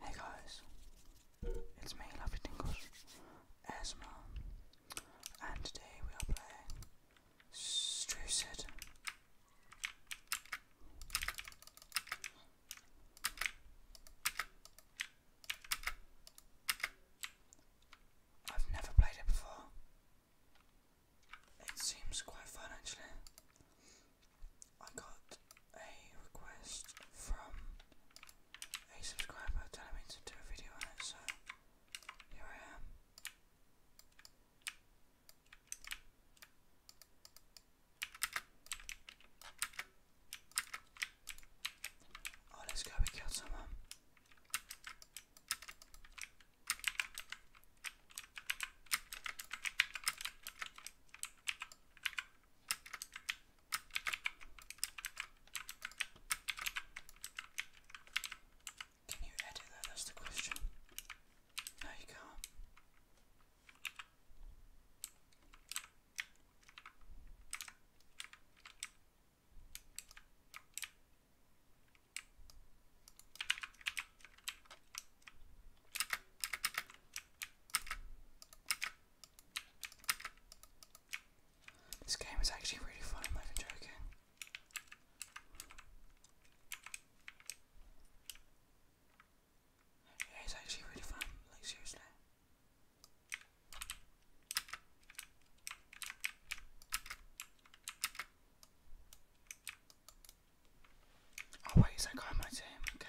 Hey guys, it's me, Lovely Tingles, Esma, and today we are playing Strucid. I've never played it before. It seems quite fun actually. I got a request from a subscriber telling me to do a video on it, so here I am. Oh, let's go, we killed someone. Can you edit that? That's the question. No, you can this game is actually really fun, I'm not Yeah, it's actually really fun, like seriously. Oh wait, is my team? Okay.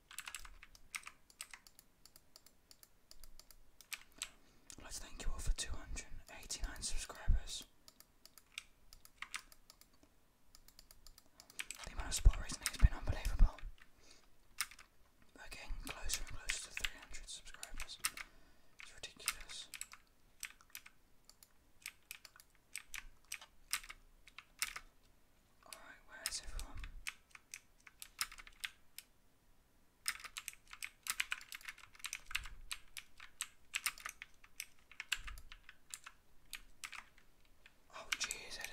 I'd thank you all for 289 subscribers. The amount of support recently has been unbelievable. we closer and closer to 300 subscribers. It's ridiculous where's everyone? Oh jeez, I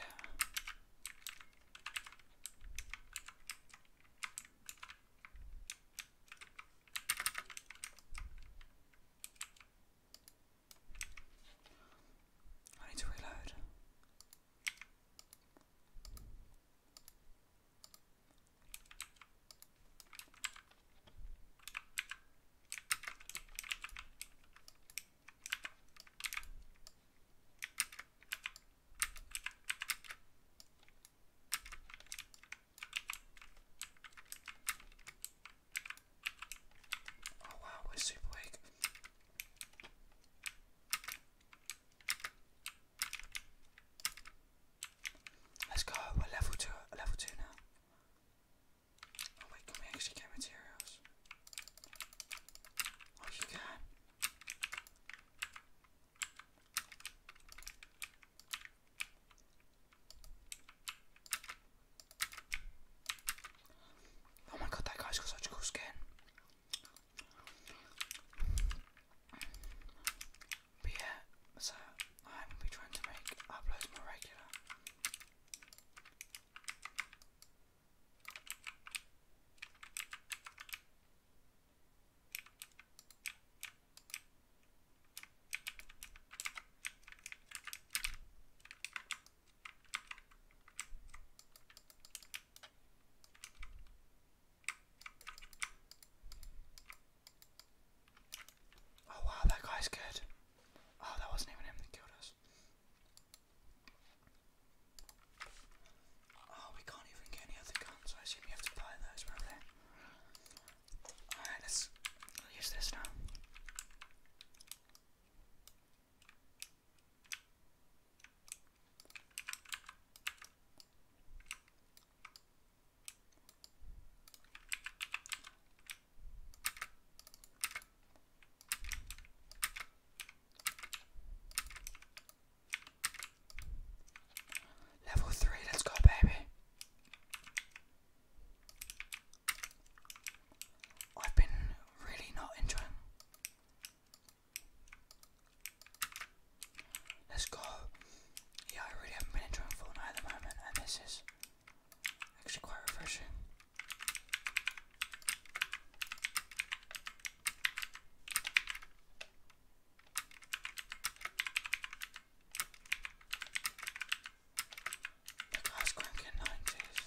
need to reload. Oh wow, we're super weak. Let's go, we're level two level two now. Oh wait, can we actually get materials? Oh you can Oh my god that guy's got such cool skin. But yeah, so I'm gonna be trying to make uploads more regular. Oh wow, that guy's good. Oh, that wasn't even him that killed us. Oh, we can't even get any other guns. I assume you have to buy those, probably. Alright, let's use this now. Level three, let's go, baby. I've been really not enjoying Let's go. Yeah, I really haven't been enjoying Fortnite at the moment, and this is actually quite refreshing. The guy's cranking 90s.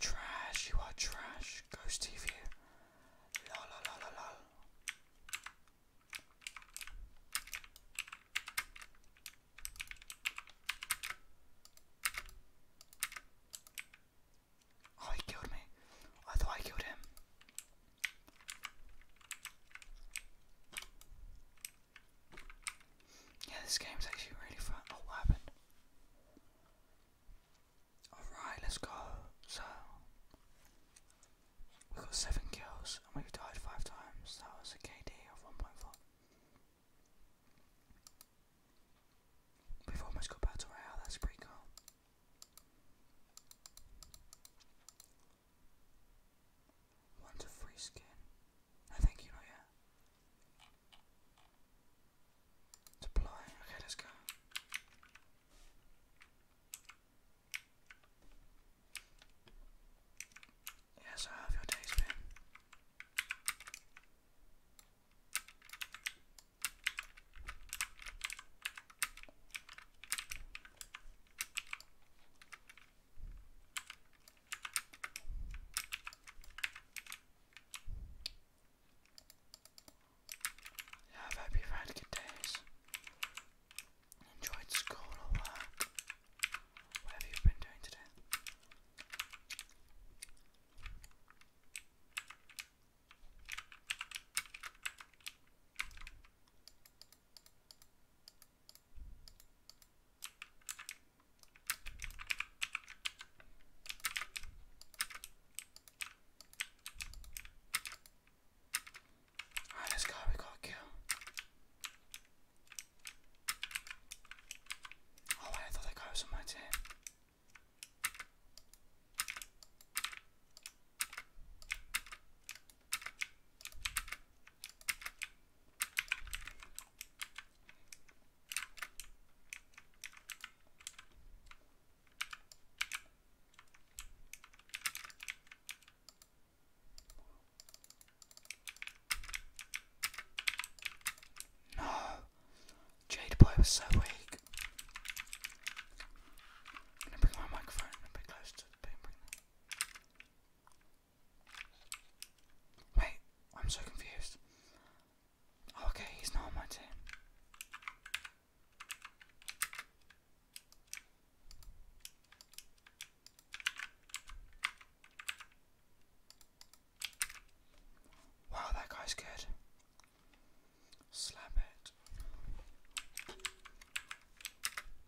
Trash, you are trash. Ghost TV. La la oh, killed me. I thought I killed him. Yeah, this game is actually really fun. Oh, what happened? Alright, let's go. So, we got 7 kills and we died 5 times. That was a KD of 1.4. We've almost got Battle Royale, that's pretty cool. Want a free skin? No, thank you, not yet. Supply. Okay, let's go. Yes, I have your days been. Have hope you've had good days. Enjoyed school or work. Whatever you've been doing today. Alright, this guy we gotta kill. Oh I thought that guy was on my team. No, Jade Boy was so weak. I'm gonna bring my microphone a bit closer to the bring Wait, I'm so confused. Oh, okay, he's not my team. Wow, that guy's good. Slap it.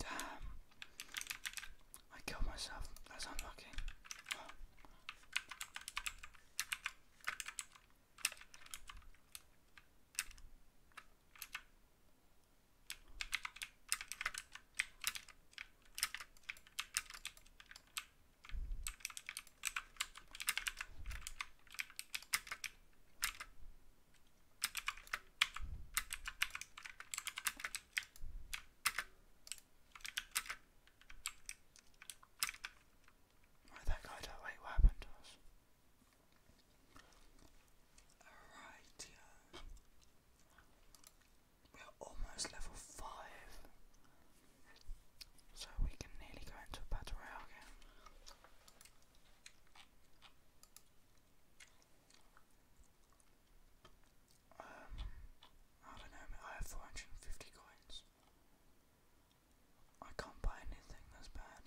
Damn, I killed myself. That's unlucky. Oh. Why did that guy that What happened to us? Alright, yeah. We're almost level 5. So we can nearly go into a battle royale again. Um, I don't know, I have 450 coins. I can't buy anything that's bad.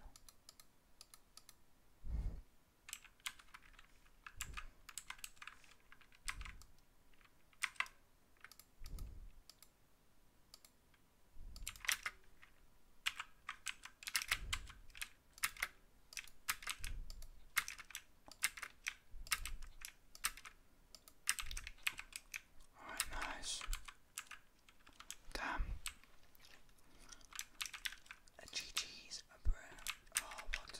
Alright, nice. Damn. A GG's, a bro. Oh, what?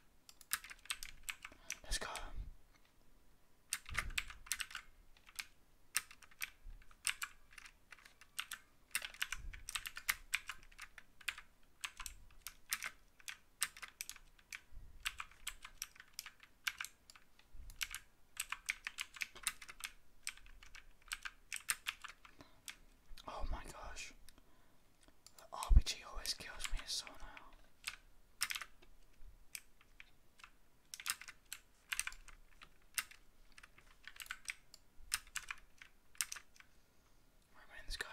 Let's go. Oh my gosh. The RPG always kills me so now. I remember this guy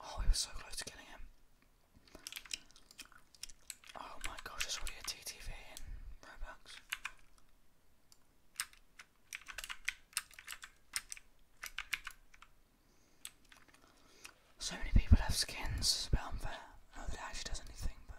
Oh, he was so close to killing him. Oh my gosh, it's already a TTV So many people have skins, it's a bit unfair. No, that actually does anything, but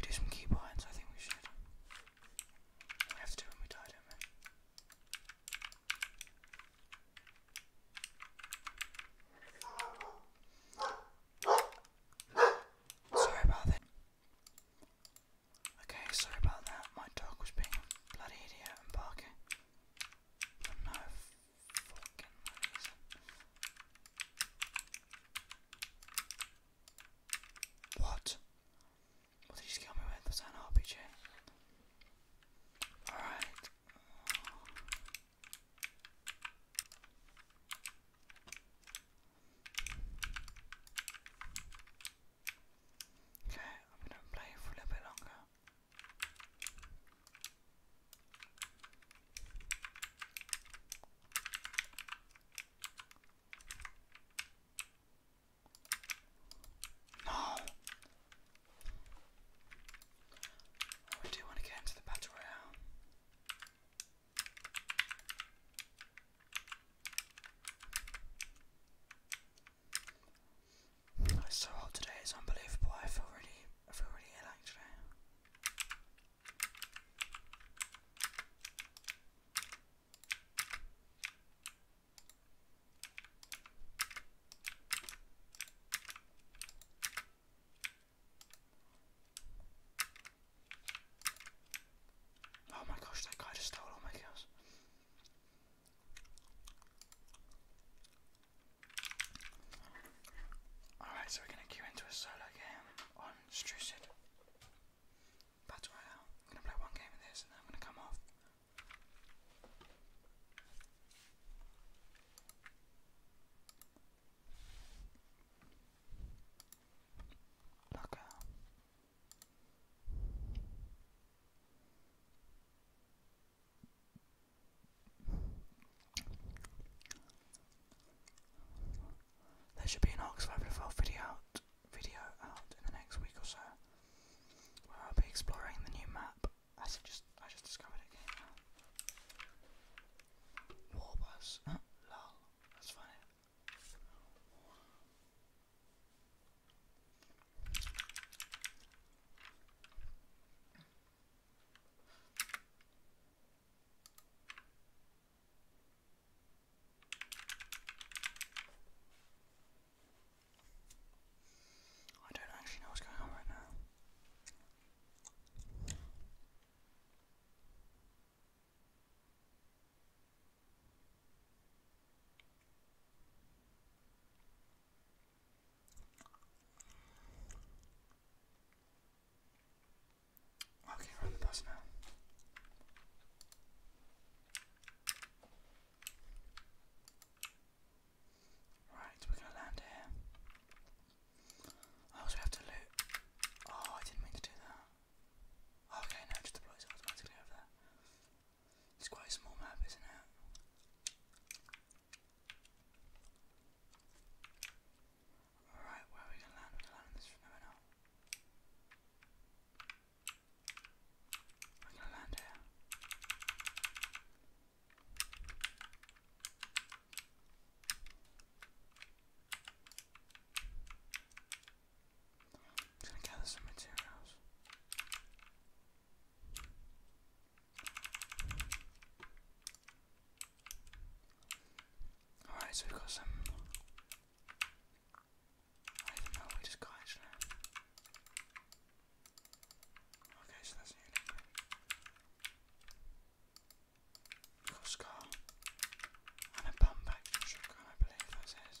do some key I think we should. We have to do when we die, don't we? Sorry about that. Okay, sorry about that. My dog was being a bloody idiot and barking What? What did you just me with? Was an RPG? Alright. Okay, I'm going to play it for a little bit longer. No! Oh, I do want to get into the battle it's so hot today, it's unbelievable. I feel really, I feel really ill actually. Oh my gosh, that guy just stole all my kills. Alright, so we're going to queue into a solo game on Strucid. Battle Royale. I'm going to play one game of this and then I'm going to come off. Look out. There should be an Ox 512 video out, video out in the next week or so, where I'll be exploring the new map. I just I just discovered it came out. That's funny. I don't actually know what's going on right now. Okay, we the bus now. Right, we're gonna land here. I oh, also have to loot. Oh, I didn't mean to do that. Okay, now just deploys automatically over there. It's quite a small map, isn't it? Alright, where are we gonna land? We're gonna land this from now We're gonna land here. gonna gather some materials. Alright, so we've got some. just got actually. Okay, so that's nearly. we a scar. And a bum back I believe that says.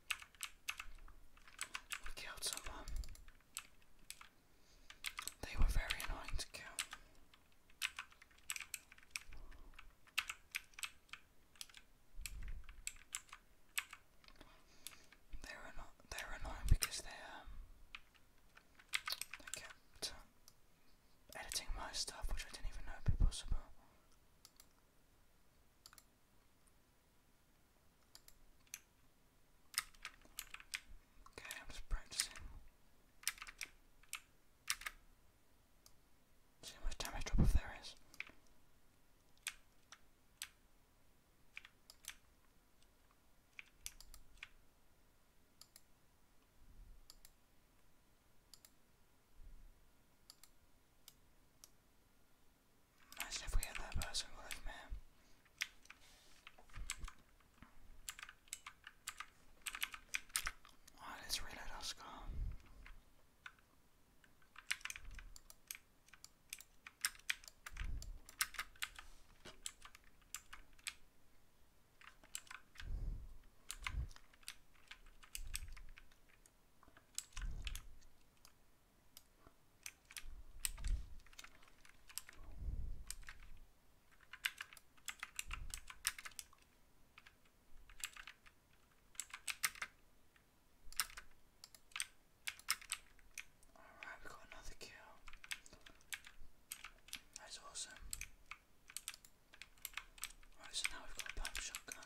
we killed someone. They were very annoying to kill. They were not. They were annoying because they um, kept uh, editing my stuff, which I didn't even know would possible. Okay, I'm just practicing. See how much damage drop off there is. Imagine if we had that person live, man. Alright, let's reload our scar. Alright, we got another kill. That's awesome. Right, so now we've got a pump shotgun.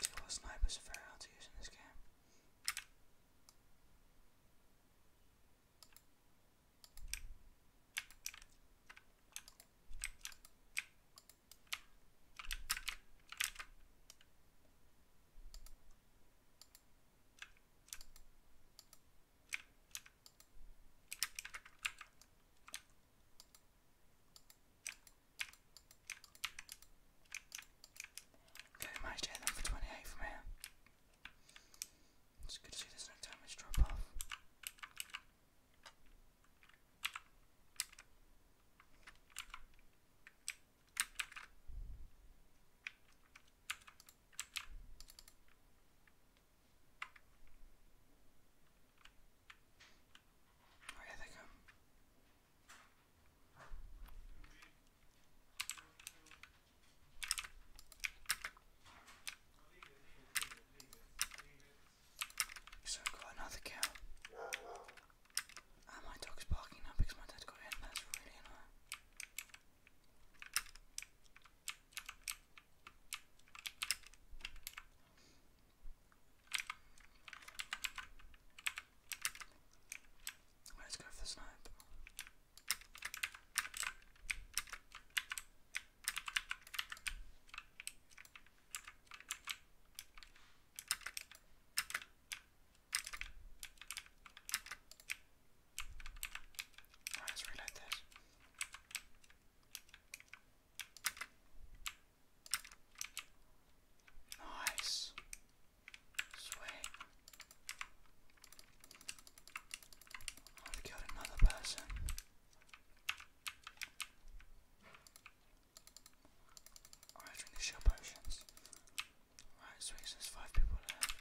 Skill snipers are very hard to use in this game. Okay, we managed to hit them for 28 from here. It's good to see there's no damage drop off. Oh, here they come. So i got another cow. Ah, my dog's barking now because my dad got in. That's really annoying. Let's go for the snipe. Alright, let's reload this. Nice. Sweet. I've killed another person. Alright, drink the shield potions. Alright, sweet, there's five people left.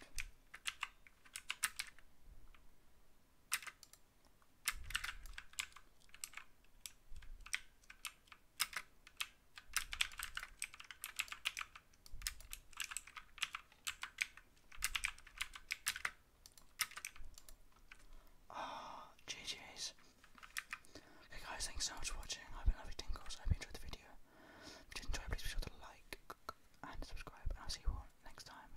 Ah, GG's. Okay guys, thanks so much for watching. I've been loving Tingles. I hope you enjoyed the video. If you did enjoy, please be sure to like and subscribe and I'll see you all next time.